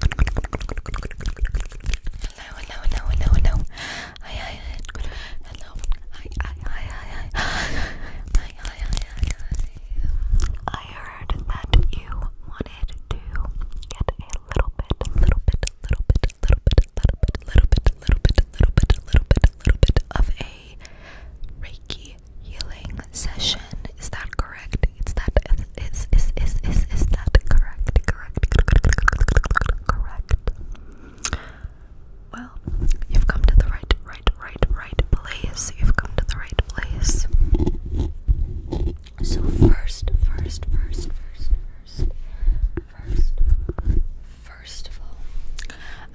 Hello, hello, hello, hello, hello. Hi, hi, Hello. Hi, hi, hi, hi, hi. Hi, hi, hi, hi, hi. I heard that you wanted to get a little bit, little bit, little bit, little bit, little bit, little bit, little bit, little bit, little bit, little bit of a Reiki healing session. Is that correct? correct? It's that is is is is is that correct? Correct. Correct. Well, you've come to the right, right, right, right place. You've come to the right place. So first, first, first, first, first, first, first of all,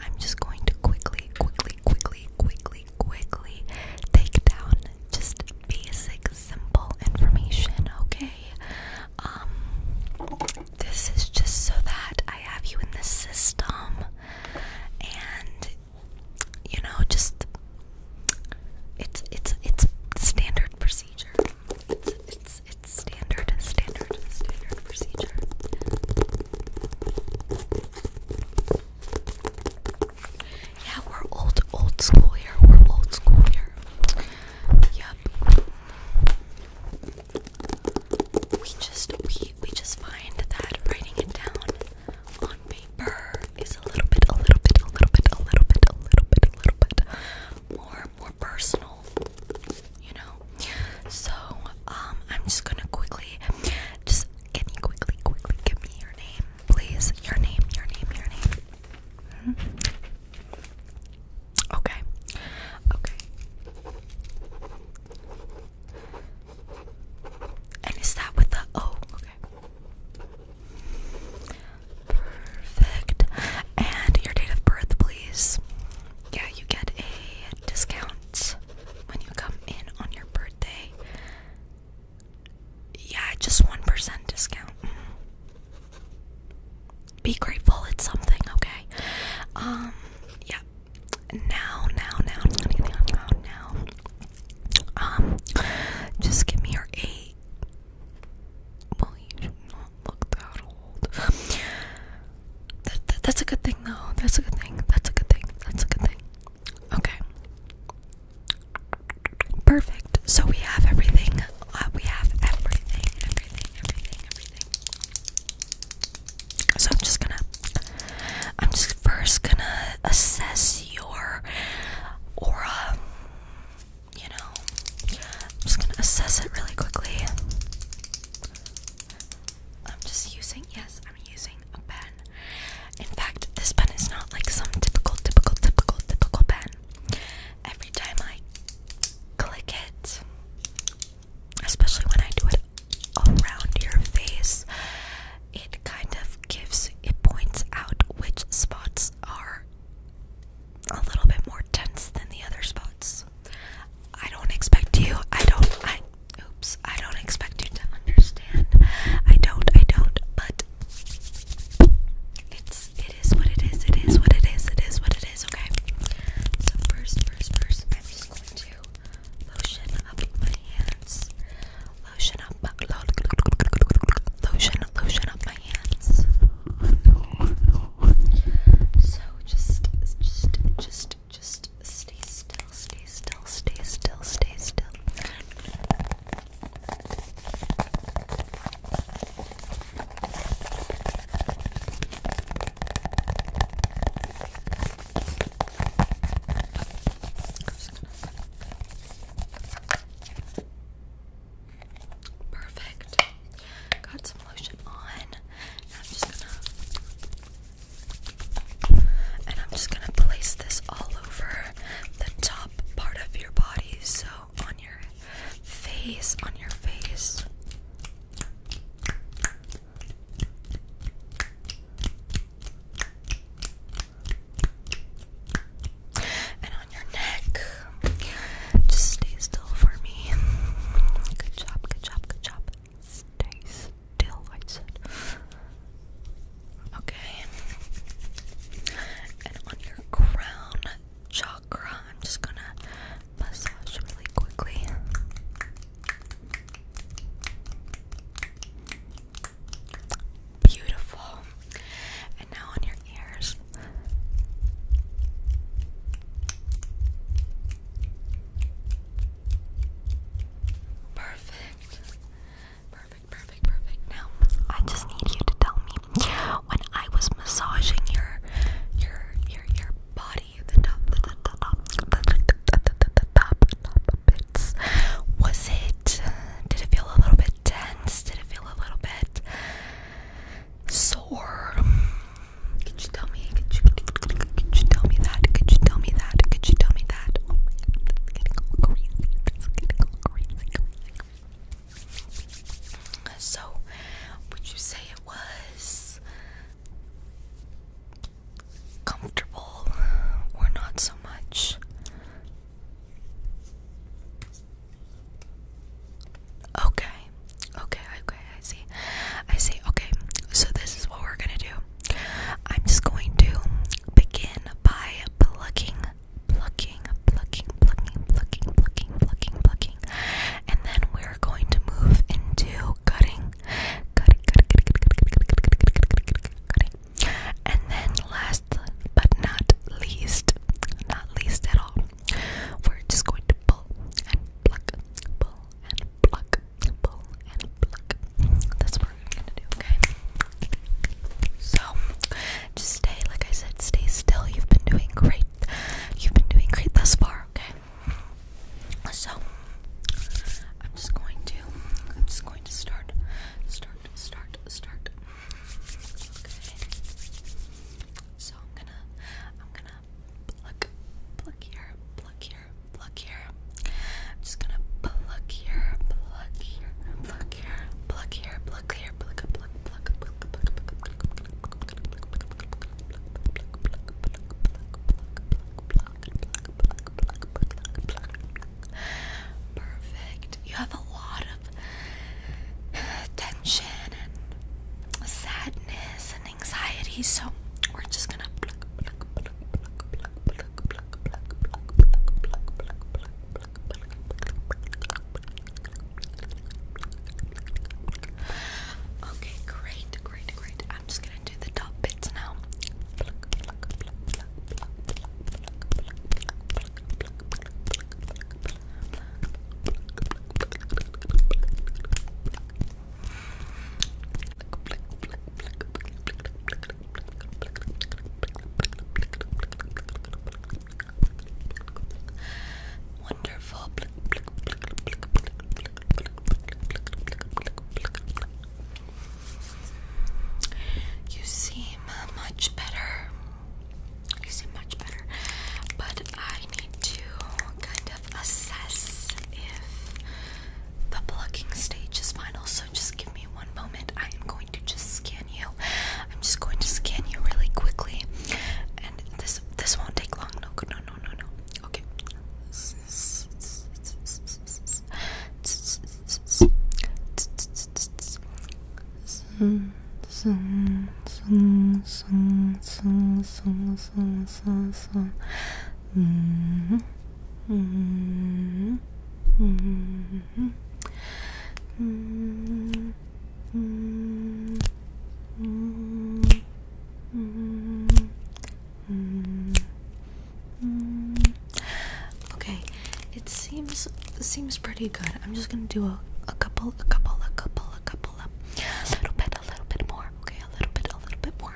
I'm just going to quickly, quickly, quickly, quickly, quickly take down just basic, simple information, okay? Um, this is just so that I have you in the system and you know, just it's it's it's standard procedure. It's it's it's standard, standard, standard procedure. Yeah, we're old, old school here. We're old school here. Yep. We just we we just find that writing it down on paper is a little bit, a little bit, a little bit, a little bit, a little bit, a little bit more more personal. You know. So um, I'm just gonna quickly just. Can you quickly, quickly give me your name? Please, your name, your name, your name. Hmm? Okay. Okay. And is that with the O? Okay. Perfect. And your date of birth, please. Yeah, you get a discount when you come in on your birthday. Yeah, just 1% discount. Be grateful, it's something, okay? Um, yeah. Now, now, now, now, Um, just give me your eight. Well, you do not look that old. that's a good thing, though. That's a good thing. That's a good thing. That's a good thing. Okay. Perfect. So we have everything. Uh, we have everything, everything, everything, everything. So I'm just gonna. I'm just first gonna assess your aura. You know, I'm just gonna assess it really quickly. I'm just using. Yes, I'm using a pen. In fact, this pen is not like some typical, typical, typical, typical pen. Every time I click it, especially when I do it around your face, it kind of gives, it points out which spots are a little bit more dense than the other spots. I don't expect you, I don't, oops, I don't expect you to understand. I don't, I don't, but it's it is what it is. It is what it is. It is what it is. Okay. So first, first, first, I'm just going to lotion up my hands. Lotion up, my, lo lotion, lotion up my hands. So just, just, just, just stay still, stay still, stay still, stay still. Perfect. Got some lotion on. I'm just gonna and I'm just gonna place this all over the top part of your body, so on your face, on your face. And on your neck. Just stay still for me. Good job, good job, good job. Stay tell I said. Okay. And on your crown chakra, I'm just gonna massage really quickly. Beautiful. And now on your ears. Perfect. Perfect, perfect, perfect. Now, I just need you to tell me when I was massaging your your your your body, the top, the, the, the top, the, top, bits. Was it? did it feel a little bit tense? Did it feel a little bit sore? Could you tell me? Could you, could you, tell me that? Could you tell me that? Could you tell me? Oh so, would you say it was comfortable or not so much? Okay, okay, okay, I see. I see. Okay, so this is what we're gonna do. I'm just going to begin by plucking, plucking, plucking, plucking, plucking, plucking, plucking, plucking, and then we're going to move into cutting, cutting, cutting, cutting, cutting, cutting, and then last but not least, not least at all, we're just going to pull and pluck, pull and pluck, pull and pluck. That's what we're gonna do, okay? So just stay, like I said, stay still. You've been doing great. You've been doing great thus far, okay? So I'm just going to I'm just going to start start start start okay so I'm gonna I'm gonna pluck pluck here pluck here here, pluck here. I'm just gonna pluck here, pluck here, pluck here, pluck here, pluck here, pluck pluck pluck pluck pluck pluck pluck Perfect. You have a lot of tension and sadness and anxiety, so we're just gonna pluck pluck pluck pluck pluck pluck pluck, pluck, pluck, pluck, pluck, pluck, pluck, pluck, pluck. Okay, great, great, great. I'm just gonna do the top bits now. Pluck, pluck, pluck, pluck, pluck, pluck, pluck, pluck, pluck, pluck, pluck, pluck, pluck. Wonderful. You seem much better. You seem much better. But I need to kind of assess if the plucking stage is final, so just give me one moment. I am going to just scan you. I'm just going to scan you really quickly, and this this won't take long. No, no, no, no, no. Okay. Mm-hmm. Mm-hmm. Mm-hmm. Mm-hmm. Mm-hmm. Mm-hmm. Mm -hmm. Okay, it seems seems pretty good. I'm just gonna do a, a couple, a couple, a couple, a couple, a little bit, a little bit more. Okay, a little bit, a little bit more.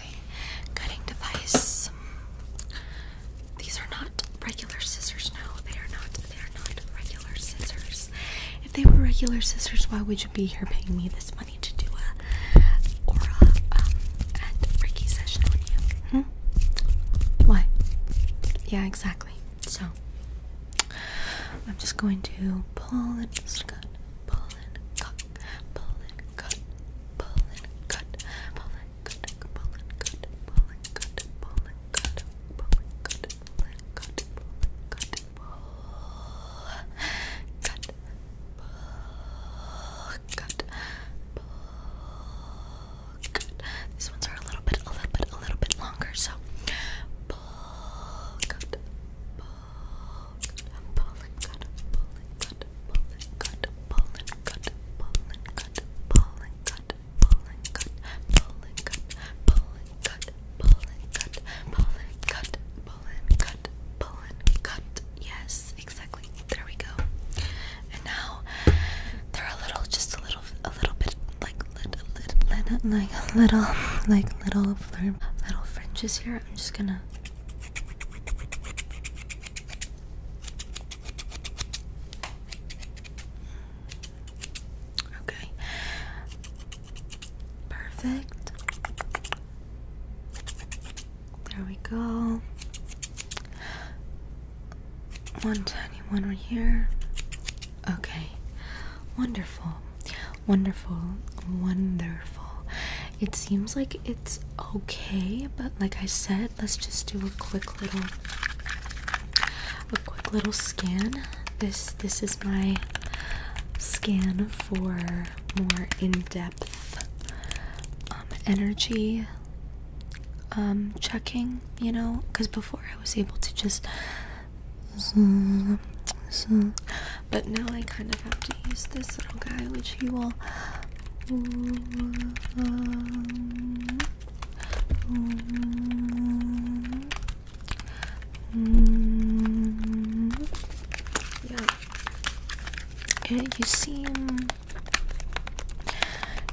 cutting device. These are not regular scissors. No, they are not. They are not regular scissors. If they were regular scissors, why would you be here paying me this money to do a aura um, and Reiki session on you? Hmm? Why? Yeah, exactly. So I'm just going to pull it, just pull it, cut, pull and cut, pull and cut, pull and cut, pull and cut, pull and cut, pull and cut, pull and cut, pull and cut, pull and cut, pull, cut, pull, cut, cut. These ones are a little bit, a little bit, a little bit longer, so cut yes exactly there we go and now they're a little just a little a little bit like little little like a little like little little fringes here I'm just gonna Okay. Perfect. There we go. One tiny one right here. Okay. Wonderful. Wonderful. Wonderful. It seems like it's okay, but like I said, let's just do a quick little a quick little scan. This this is my scan for more in-depth um, energy um checking, you know, because before I was able to just but now I kind of have to use this little guy, which he will yeah. yeah you seem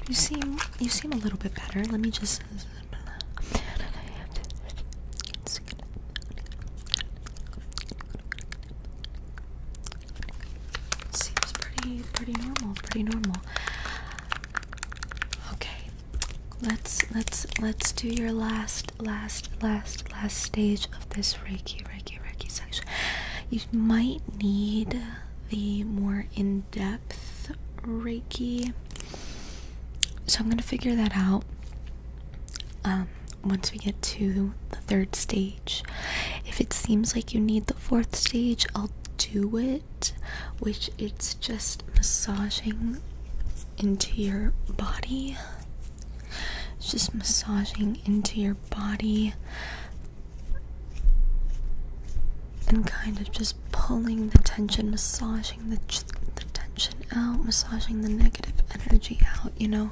you seem you seem a little bit better. Let me just Seems pretty pretty normal, pretty normal. Okay. Let's let's let's do your last last last last stage of this Reiki Reiki Reiki section. You might need the more in-depth Reiki. So I'm gonna figure that out. Um, once we get to the third stage, if it seems like you need the fourth stage, I'll do it, which it's just massaging into your body. It's just massaging into your body and kind of just pulling the tension, massaging the tension out, massaging the negative energy out, you know.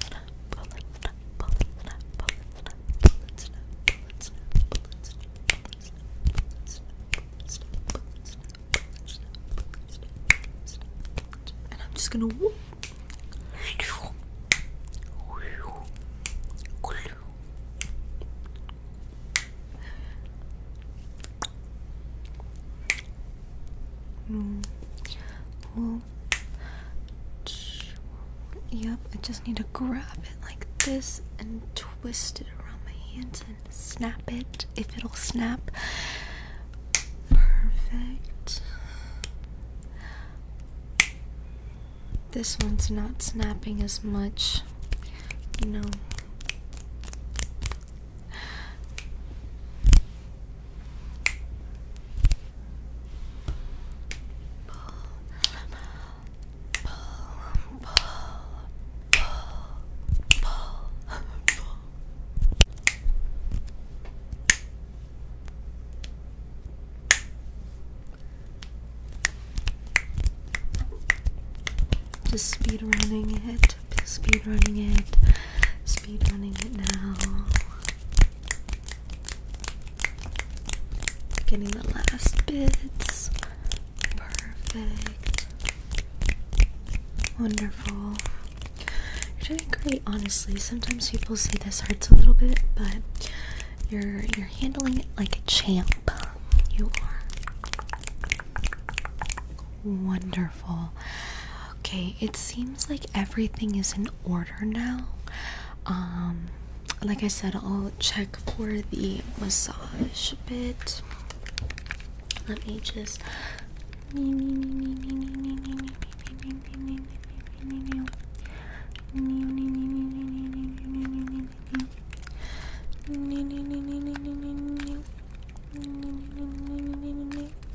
snap, and I'm just gonna mm. Yep, I just need to grab it like this and twist it around my hands and snap it if it'll snap. Perfect. This one's not snapping as much. No. Just speed running it, speed running it, speed running it now. Getting the last bits. Perfect. Wonderful. You're doing great, honestly. Sometimes people say this hurts a little bit, but you're you're handling it like a champ. You are wonderful. Okay, it seems like everything is in order now. Um, like I said, I'll check for the massage bit. Let me just.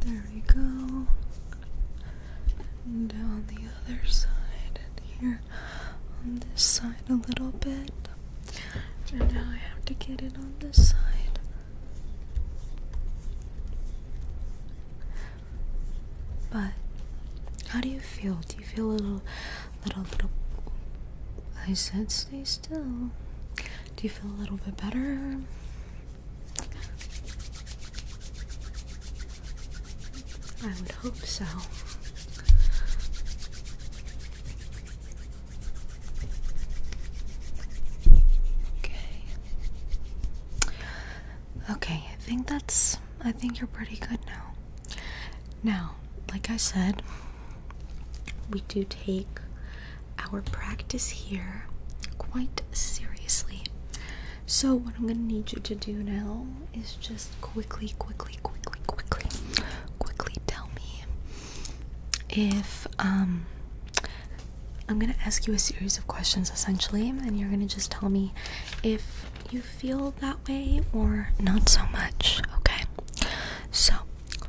there we go. And down the other side, here on this side a little bit. And now I have to get it on this side. But how do you feel? Do you feel a little, little, little? I said, stay still. Do you feel a little bit better? I would hope so. Okay. Okay, I think that's I think you're pretty good now. Now, like I said, we do take our practice here quite seriously. So, what I'm going to need you to do now is just quickly, quickly, quickly, quickly, quickly tell me if um, I'm going to ask you a series of questions essentially, and you're going to just tell me if you feel that way or not so much, okay? So,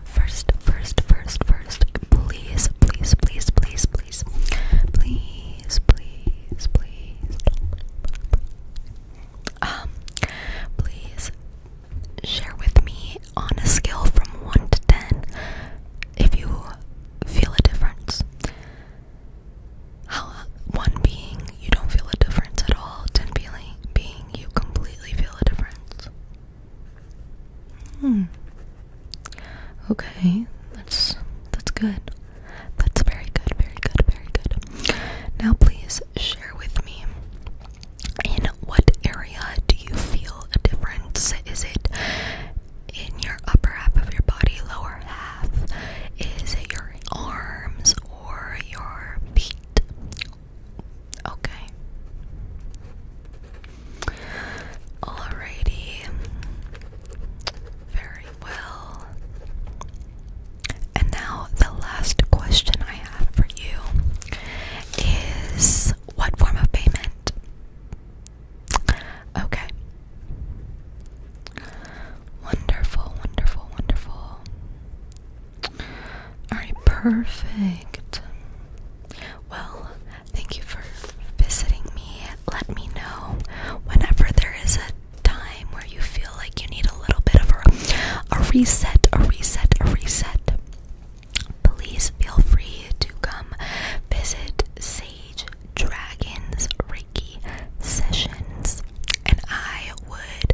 First, first, first, first, please, please, please, please, please, please, please, please, um, please share with me on a scale from one to ten if you feel a difference. How one being you don't feel a difference at all, ten being being you completely feel a difference. Hmm. Okay, that's that's good. That's very good, very good, very good. Now please share with me in what area do you feel a difference? Is it in your upper half of your body, lower half? Is it your arms or your feet Okay. Alrighty. Very well. And now, the last question I have for you is what form of payment? Okay. Wonderful, wonderful, wonderful. Alright, perfect. Well, thank you for visiting me. Let me know whenever there is a time where you feel like you need a little bit of a, a reset, a reset, a reset. Please feel free to come visit Sage Dragons Reiki sessions, and I would